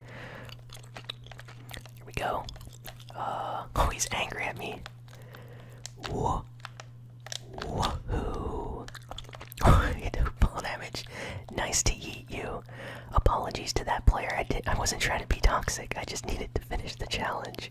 Here we go. Uh, oh, he's angry at me. Whoa. Woohoo. you do full damage. Nice to eat you. Apologies to that player. I did I wasn't trying to be toxic. I just needed to finish the challenge.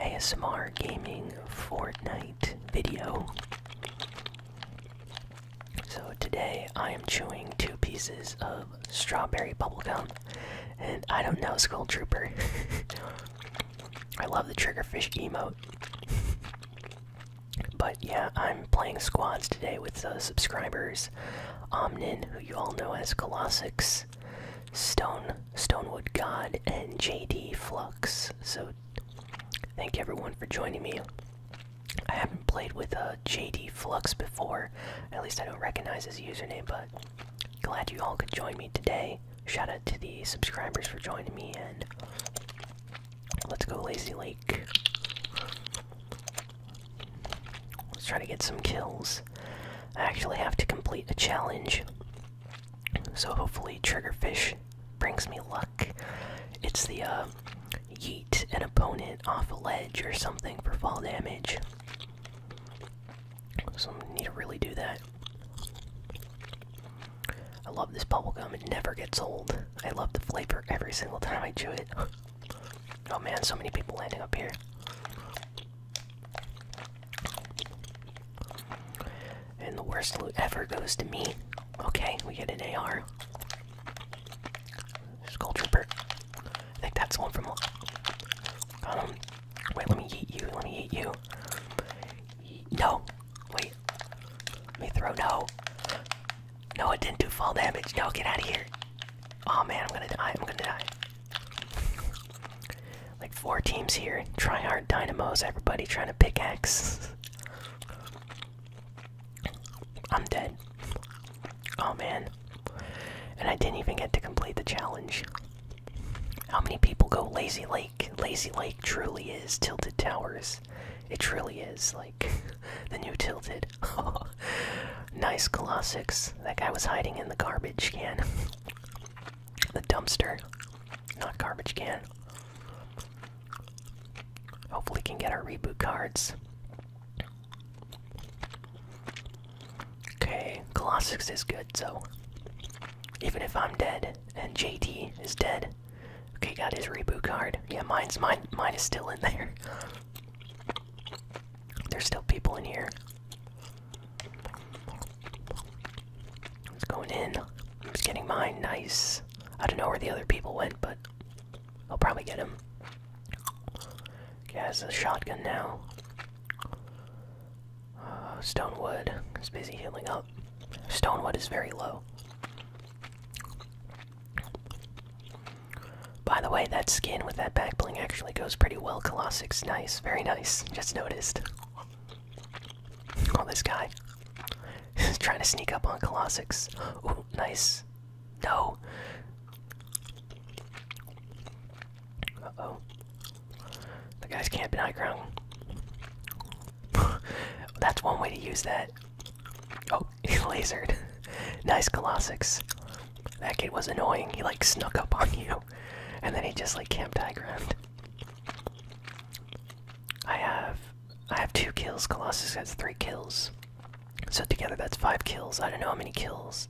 ASMR gaming Fortnite video. So today I am chewing two pieces of strawberry bubblegum, and I don't know Skull Trooper. I love the triggerfish emote. But yeah, I'm playing squads today with uh, subscribers Omnin, who you all know as Colossix, Stone Stonewood God, and JD Flux. So thank everyone for joining me. I haven't played with uh, JD Flux before. At least I don't recognize his username, but glad you all could join me today. Shout out to the subscribers for joining me, and let's go Lazy Lake. Let's try to get some kills. I actually have to complete a challenge so hopefully Triggerfish brings me luck. It's the uh, yeet an opponent off a ledge or something for fall damage. So I need to really do that. I love this bubble gum; it never gets old. I love the flavor every single time I chew it. Oh man, so many people landing up here. And the worst loot ever goes to me. Okay, we get an AR. Skull Trooper. I think that's the one from. Got um, Wait, let me eat you. Let me eat you. No. Wait. Let me throw. No. No, it didn't do fall damage. No, get out of here. Oh man, I'm gonna die. I'm gonna die like four teams here. Try hard dynamos, everybody trying to pick X. am dead. Oh man. And I didn't even get to complete the challenge. How many people go Lazy Lake? Lazy Lake truly is Tilted Towers. It truly is, like, the new Tilted. nice Colossus. That guy was hiding in the garbage can. The dumpster, not garbage can. Hopefully, can get our reboot cards. Okay, Colossus is good, so even if I'm dead and JT is dead, okay, got his reboot card. Yeah, mine's mine. Mine is still in there. There's still people in here. It's going in. He's getting mine. Nice. I don't know where the other people went, but I'll probably get him. Okay, has a shotgun now. Uh, Stonewood is busy healing up. Stonewood is very low. By the way, that skin with that back bling actually goes pretty well. Colossic's nice, very nice. Just noticed. Oh, this guy is trying to sneak up on Colossus. Ooh, nice. No. Uh oh. The guy's camping high ground. That's one way to use that. Oh, he lasered. nice Colossus. That kid was annoying. He like snuck up on you, and then he just like camped high ground. I have I have two kills. Colossus has three kills. So together that's five kills. I don't know how many kills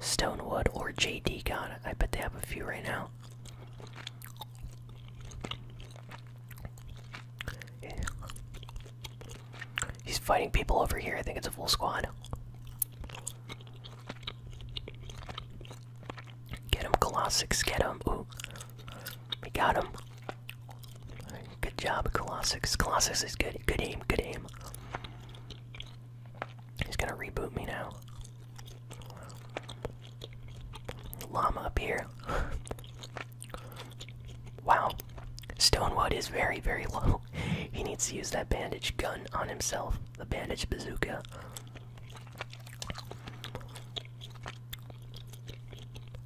Stonewood or JD got. I bet they have a few right now. He's fighting people over here. I think it's a full squad. Get him, Colossus, get him. Ooh. We got him. Good job, Colossus. Colossus is good. Good aim, good aim. He's gonna reboot me now. Llama up here. wow. Stonewood is very, very low. he needs to use that bandage gun on himself. The bandage bazooka.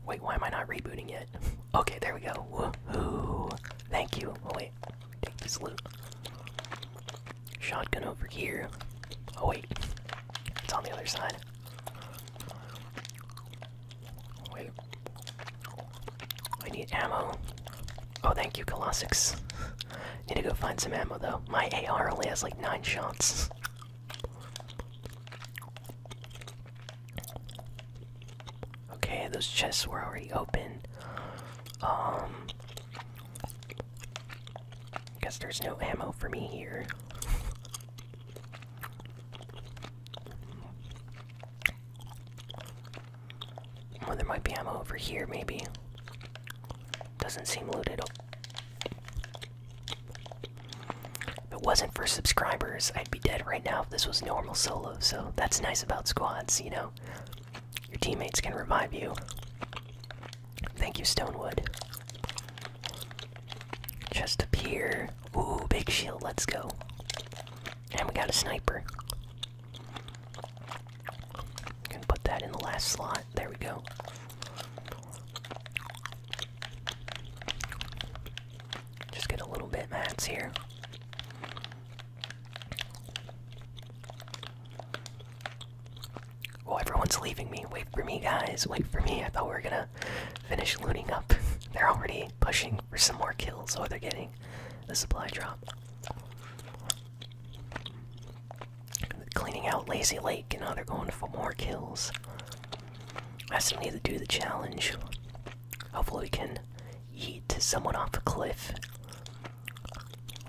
Wait, why am I not rebooting yet? Okay, there we go. Woohoo! Thank you. Oh wait, take this loot. Shotgun over here. Oh wait, it's on the other side. Wait, I need ammo. Oh, thank you, Colossus. Need to go find some ammo though. My AR only has like nine shots. Okay, those chests were already open. Um, guess there's no ammo for me here. Well, there might be ammo over here, maybe. Doesn't seem looted. If it wasn't for subscribers, I'd be dead right now if this was normal solo, so that's nice about squads, you know? Your teammates can revive you. Thank you, Stonewood. Just up here. Ooh, big shield, let's go. And we got a sniper. Can put that in the last slot. There we go. Just get a little bit mats here. Oh, everyone's leaving me. Wait for me, guys. Wait for me. I thought we were gonna finish looting up. They're already pushing for some more kills, so they're getting the supply drop cleaning out Lazy Lake, and now they're going for more kills. I still need to do the challenge. Hopefully, we can eat someone off a cliff.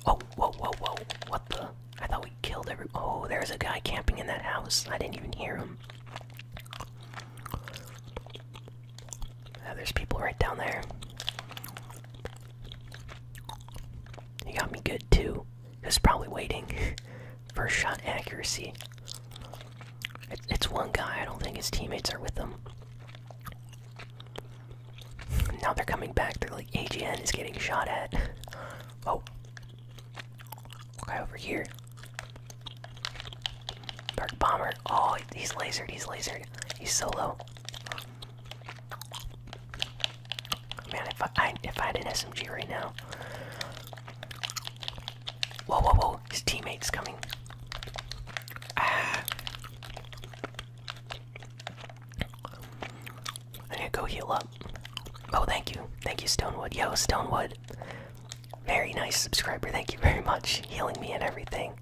Oh, whoa, whoa, whoa! What the? I thought we killed every. Oh, there's a guy camping in that house. I didn't even hear him. there's people right down there. He got me good too. Who's probably waiting for shot accuracy? it's one guy. I don't think his teammates are with him. Now they're coming back. They're like AGN is getting shot at. Oh, guy over here. Dark bomber. Oh, he's lasered. He's lasered. He's solo. Man, if I, if I had an SMG right now. Whoa, whoa, whoa! His teammate's coming. I ah. gotta go heal up. Oh, thank you, thank you, Stonewood. Yo, Stonewood, very nice subscriber. Thank you very much, healing me and everything.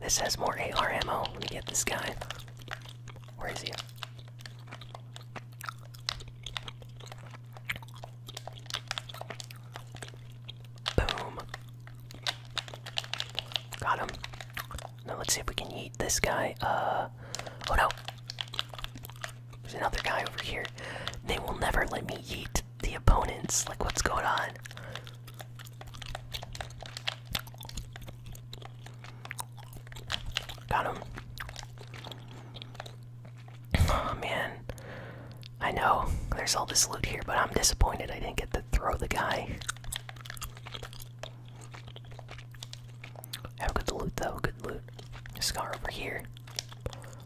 This has more A R M O. Let me get this guy. Where is he? Boom. Got him. Now let's see if we can eat this guy. Uh oh no. There's another guy over here. They will never let me eat the opponents. Like what's going on? Got him. Oh man. I know there's all this loot here, but I'm disappointed I didn't get to throw the guy. Have good loot though, good loot. Scar over here.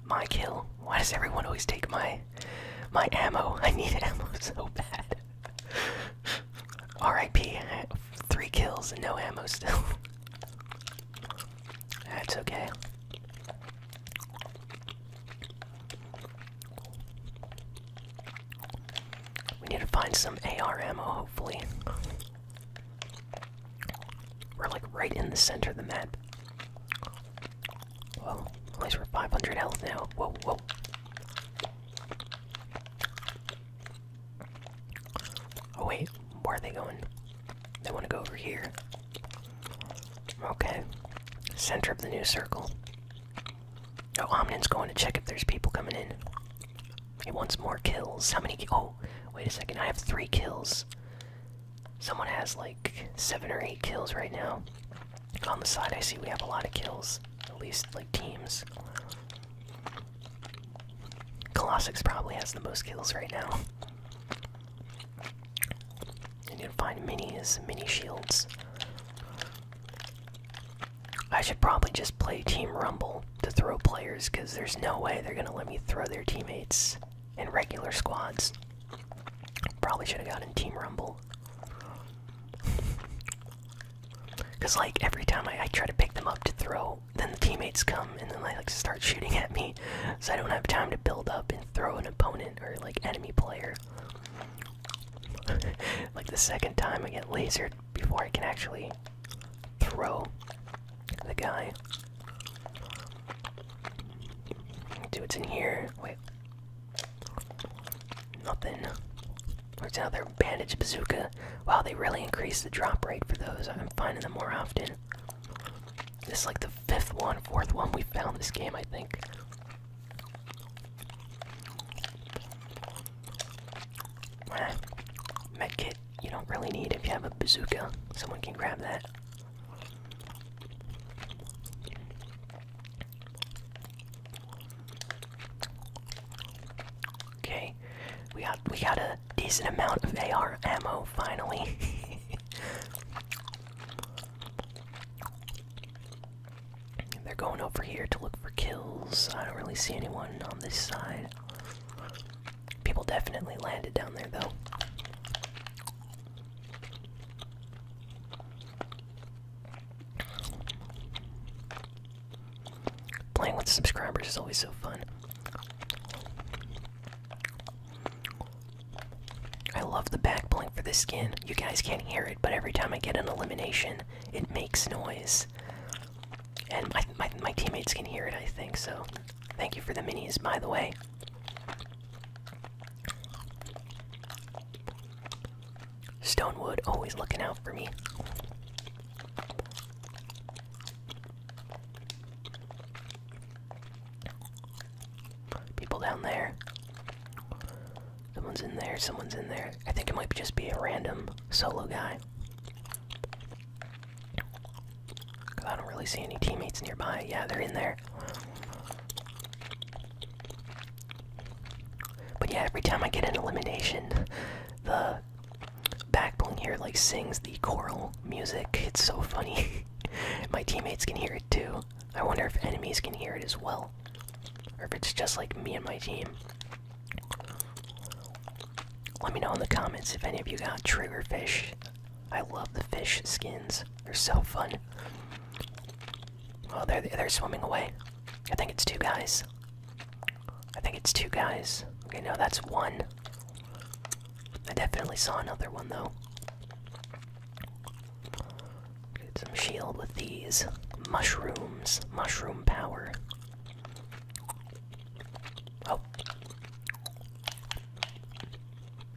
My kill. Why does everyone always take my my ammo? I need ammo so bad. R.I.P. Three kills and no ammo still. That's okay. We need to find some AR ammo, hopefully. We're like right in the center of the map. Well, at least we're 500 health now. Whoa, whoa. Oh wait, where are they going? They want to go over here. Okay. Center of the new circle. Oh, Omnin's going to check if there's people coming in. He wants more kills. How many? Oh, wait a second. I have three kills. Someone has like seven or eight kills right now. On the side, I see we have a lot of kills. At least, like, teams. Colossus probably has the most kills right now. I need to find minis, mini shields. I should probably just play Team Rumble to throw players because there's no way they're gonna let me throw their teammates in regular squads. Probably should have gotten Team Rumble. Cause like every time I, try to pick them up to throw, then the teammates come and then they like start shooting at me, so I don't have time to build up and throw an opponent or like enemy player. like the second time I get lasered before I can actually throw the guy. Dude, it's in here. Wait. Nothing. Works out their bandage bazooka. Wow, they really increased the drop rate for those. I'm finding them more often. This is like the fifth one, fourth one we found this game, I think. Ah, medkit, you don't really need if you have a bazooka. Someone can grab that. Okay, we got we got a decent amount of AR ammo finally. They're going over here to look for kills. I don't really see anyone on this side. People definitely landed down there though. Playing with subscribers is always so fun. I love the back blink for this skin. You guys can't hear it, but every time I get an elimination, it makes noise. And my, my, my teammates can hear it, I think, so thank you for the minis, by the way. Stonewood always looking out for me. People down there. Someone's in there, someone's in there. I think it might just be a random solo guy. Cause I don't really see any teammates nearby. Yeah, they're in there. But yeah, every time I get an elimination, the uh, backbling here like sings the choral music. It's so funny. My teammates can hear it too. I wonder if enemies can hear it as well, or if it's just like me and my team. Let me know in the comments if any of you got triggerfish. I love the fish skins. They're so fun. Oh, they're they're swimming away. I think it's two guys. I think it's two guys. Okay, no, that's one. I definitely saw another one though. Get some shield with these mushrooms. Mushroom power. Oh.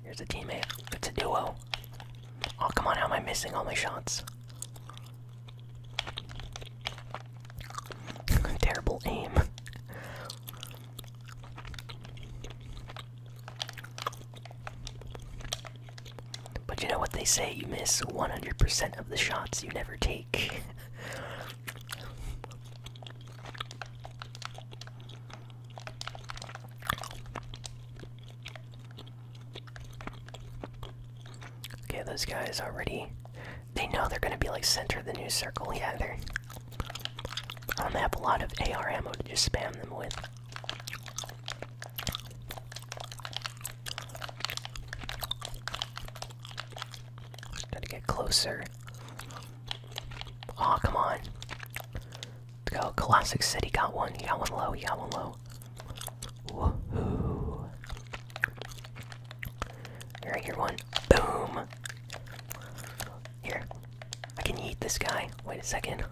Here's a teammate. It's a duo. Oh, come on, how am I missing all my shots? Terrible aim. But you know what they say, you miss 100% of the shots you never take. Okay, those guys already. They know they're gonna be like center of the new circle. Yeah, they're. I um, have a lot of AR ammo to just spam them with. Gotta get closer. Aw, oh, come on. go. Classic City got one. He got one low. He got one low. Woohoo. I hear one. Boom. Here. I can eat this guy. Wait a second.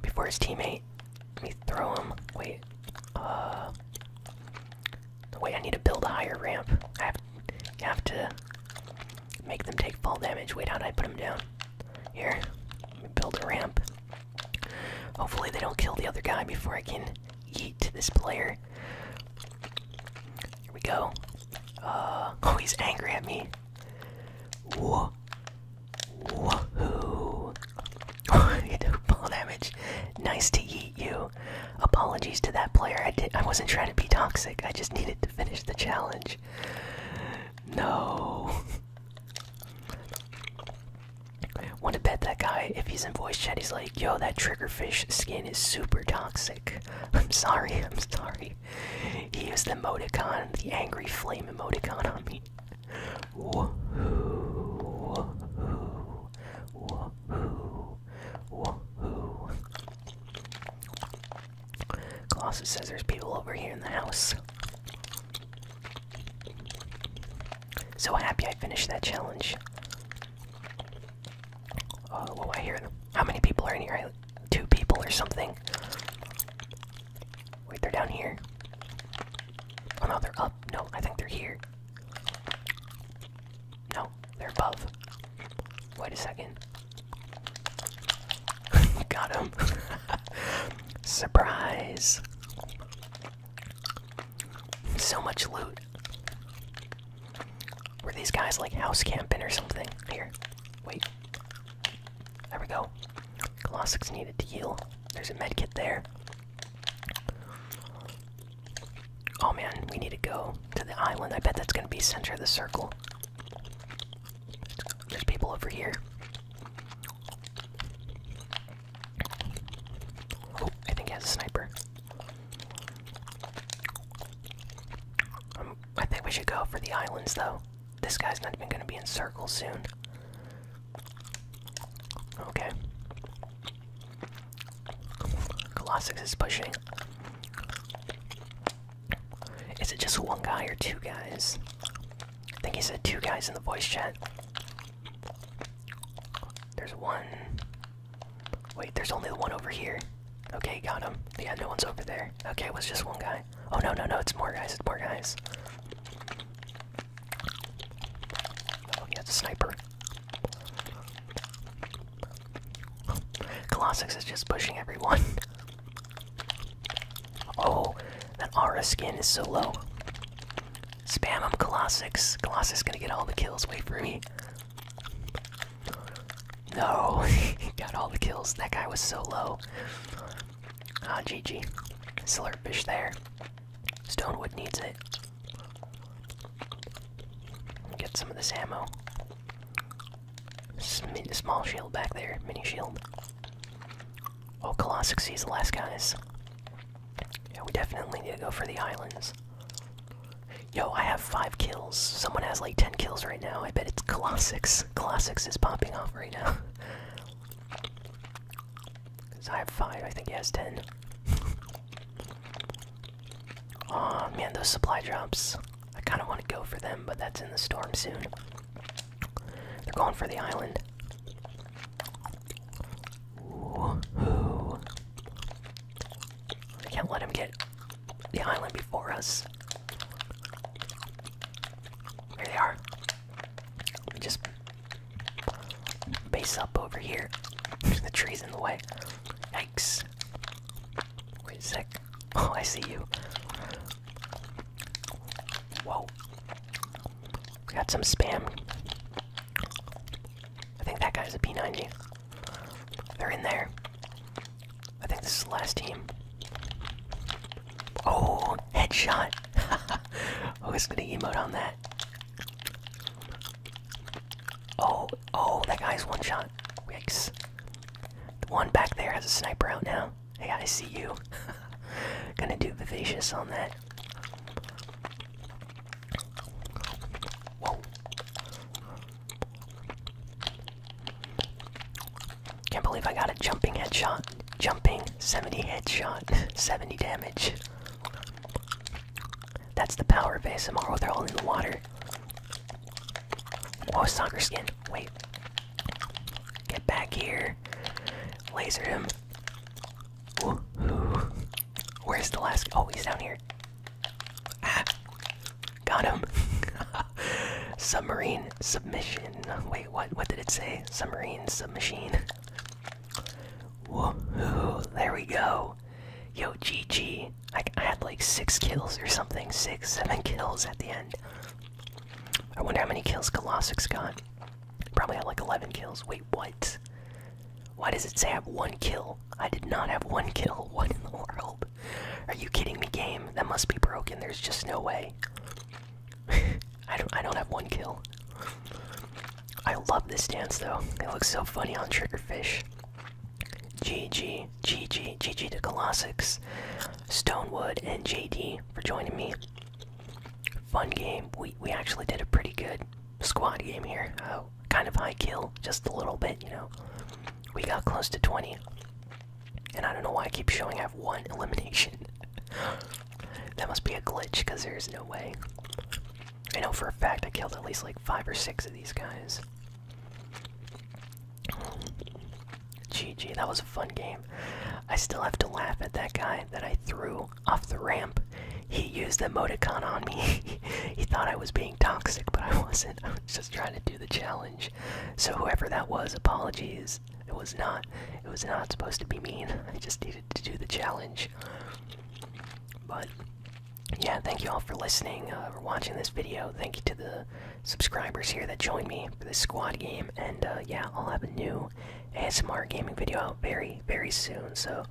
Before his teammate. Let me throw him. Wait. Uh wait, I need to build a higher ramp. I have I have to make them take fall damage. Wait, how did I put him down? Here. Let me build a ramp. Hopefully they don't kill the other guy before I can eat this player. Here we go. Uh, oh, he's angry at me. Whoa. Woohoo. you do full damage. Nice to eat you. Apologies to that player. I did I wasn't trying to be toxic. I just needed to finish the challenge. No. Want to bet that guy if he's in voice chat he's like like, yo, that triggerfish skin is super toxic. I'm sorry, I'm sorry. He used the emoticon, the angry flame emoticon on me. Woohoo, woohoo, woohoo, woohoo. Colossus says there's people over here in the house. So happy I finished that challenge. Oh, I hear them. How many people are in here? Two people or something. Wait, they're down here. Oh no, they're up. No, I think they're here. No, they're above. Wait a second. Got him. Surprise. So much loot. Were these guys like house camping or something? Here, wait. There we go. Colossus needed to heal. There's a medkit there. Oh man, we need to go to the island. I bet that's gonna be center of the circle. There's people over here. Oh, I think he has a sniper. Um, I think we should go for the islands though. This guy's not even going to be in circles soon. Okay. Colossus is pushing. Is it just one guy or two guys? I think he said two guys in the voice chat. There's one, Wait, there's only one over here. Okay, got him. Yeah, no one's over there. Okay, it was just one guy. Oh no, no, no, it's more guys, it's more guys. Oh, yeah, it's a sniper. Colossus is just pushing everyone. oh, that Aura skin is so low. Spam him, Colossus. Colossus is gonna get all the kills. Wait for me. No, he got all the kills. That guy was so low. Ah, GG. Slurpfish there. Stonewood needs it. Get some of this ammo. small shield back there, mini shield. Oh, Colossic sees the last guys. Yeah, we definitely need to go for the islands. Yo, I have five kills. Someone has like ten kills right now. I bet it's Colossus. Colossus is popping off right now. Cause I have five. I think he has ten. oh man, those supply drops. I kind of want to go for them, but that's in the storm soon. They're going for the island. We can't let him get the island before us. There they are. We just base up over here. the tree's in the way. Yikes. Wait a sec. Oh, I see you. Whoa. got some spam. I think that guy's a P90. They're in there. I think this is the last team. Oh, headshot! I was gonna emote on that. Oh, oh, that guy's one shot. Yikes. The one back there has a sniper out now. I gotta see you. gonna do vivacious on that. Whoa. Can't believe I got a jumping headshot. Jumping 70 headshot, 70 damage. That's the power of ASMR. Oh, they're all in the water. Oh, soccer skin. Wait. Get back here. Laser him. Where's the last? Oh, he's down here got him. Submarine submission. Wait, what? What did it say? Submarine submachine. There we go. Yo, GG. I, I had like six kills or something. Six, seven kills at the end. I wonder how many kills Colossus got. Probably had like 11 kills. Wait, what? Why does it say I have one kill? I did not have one kill. What in the world? Are you kidding me, game? That must be broken. There's just no way. I don't I don't have one kill. I love this dance though. It looks so funny on Triggerfish. GG, GG, GG to Colossus, Stonewood, and JD for joining me. Fun game. We we actually did a pretty good squad game here. Uh, kind of high kill, just a little bit, you know. We got close to 20. And I don't know why I keep showing I have one elimination. that must be a glitch, because there's no way. I know for a fact I killed at least like five or six of these guys. GG, that was a fun game. I still have to laugh at that guy that I threw off the ramp. He used the emoticon on me. he, thought I was being toxic, but I wasn't. I was just trying to do the challenge. So whoever that was, apologies. It was not. It was not supposed to be mean. I just needed to do the challenge. But yeah, thank you all for listening uh, or watching this video. Thank you to the subscribers here that joined me for this squad game. And uh, yeah, I'll have a new ASMR gaming video out very, very soon. So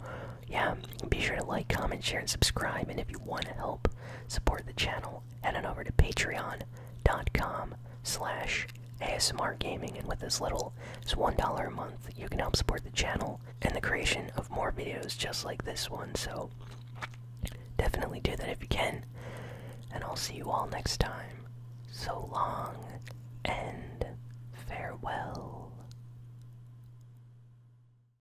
yeah, be sure to like, comment, share, and subscribe. And if you want to help support the channel, head on over to patreon.com slash ASMR And with as little as $1 a month, you can help support the channel and the creation of more videos just like this one. So definitely do that if you can. And I'll see you all next time. So long and farewell.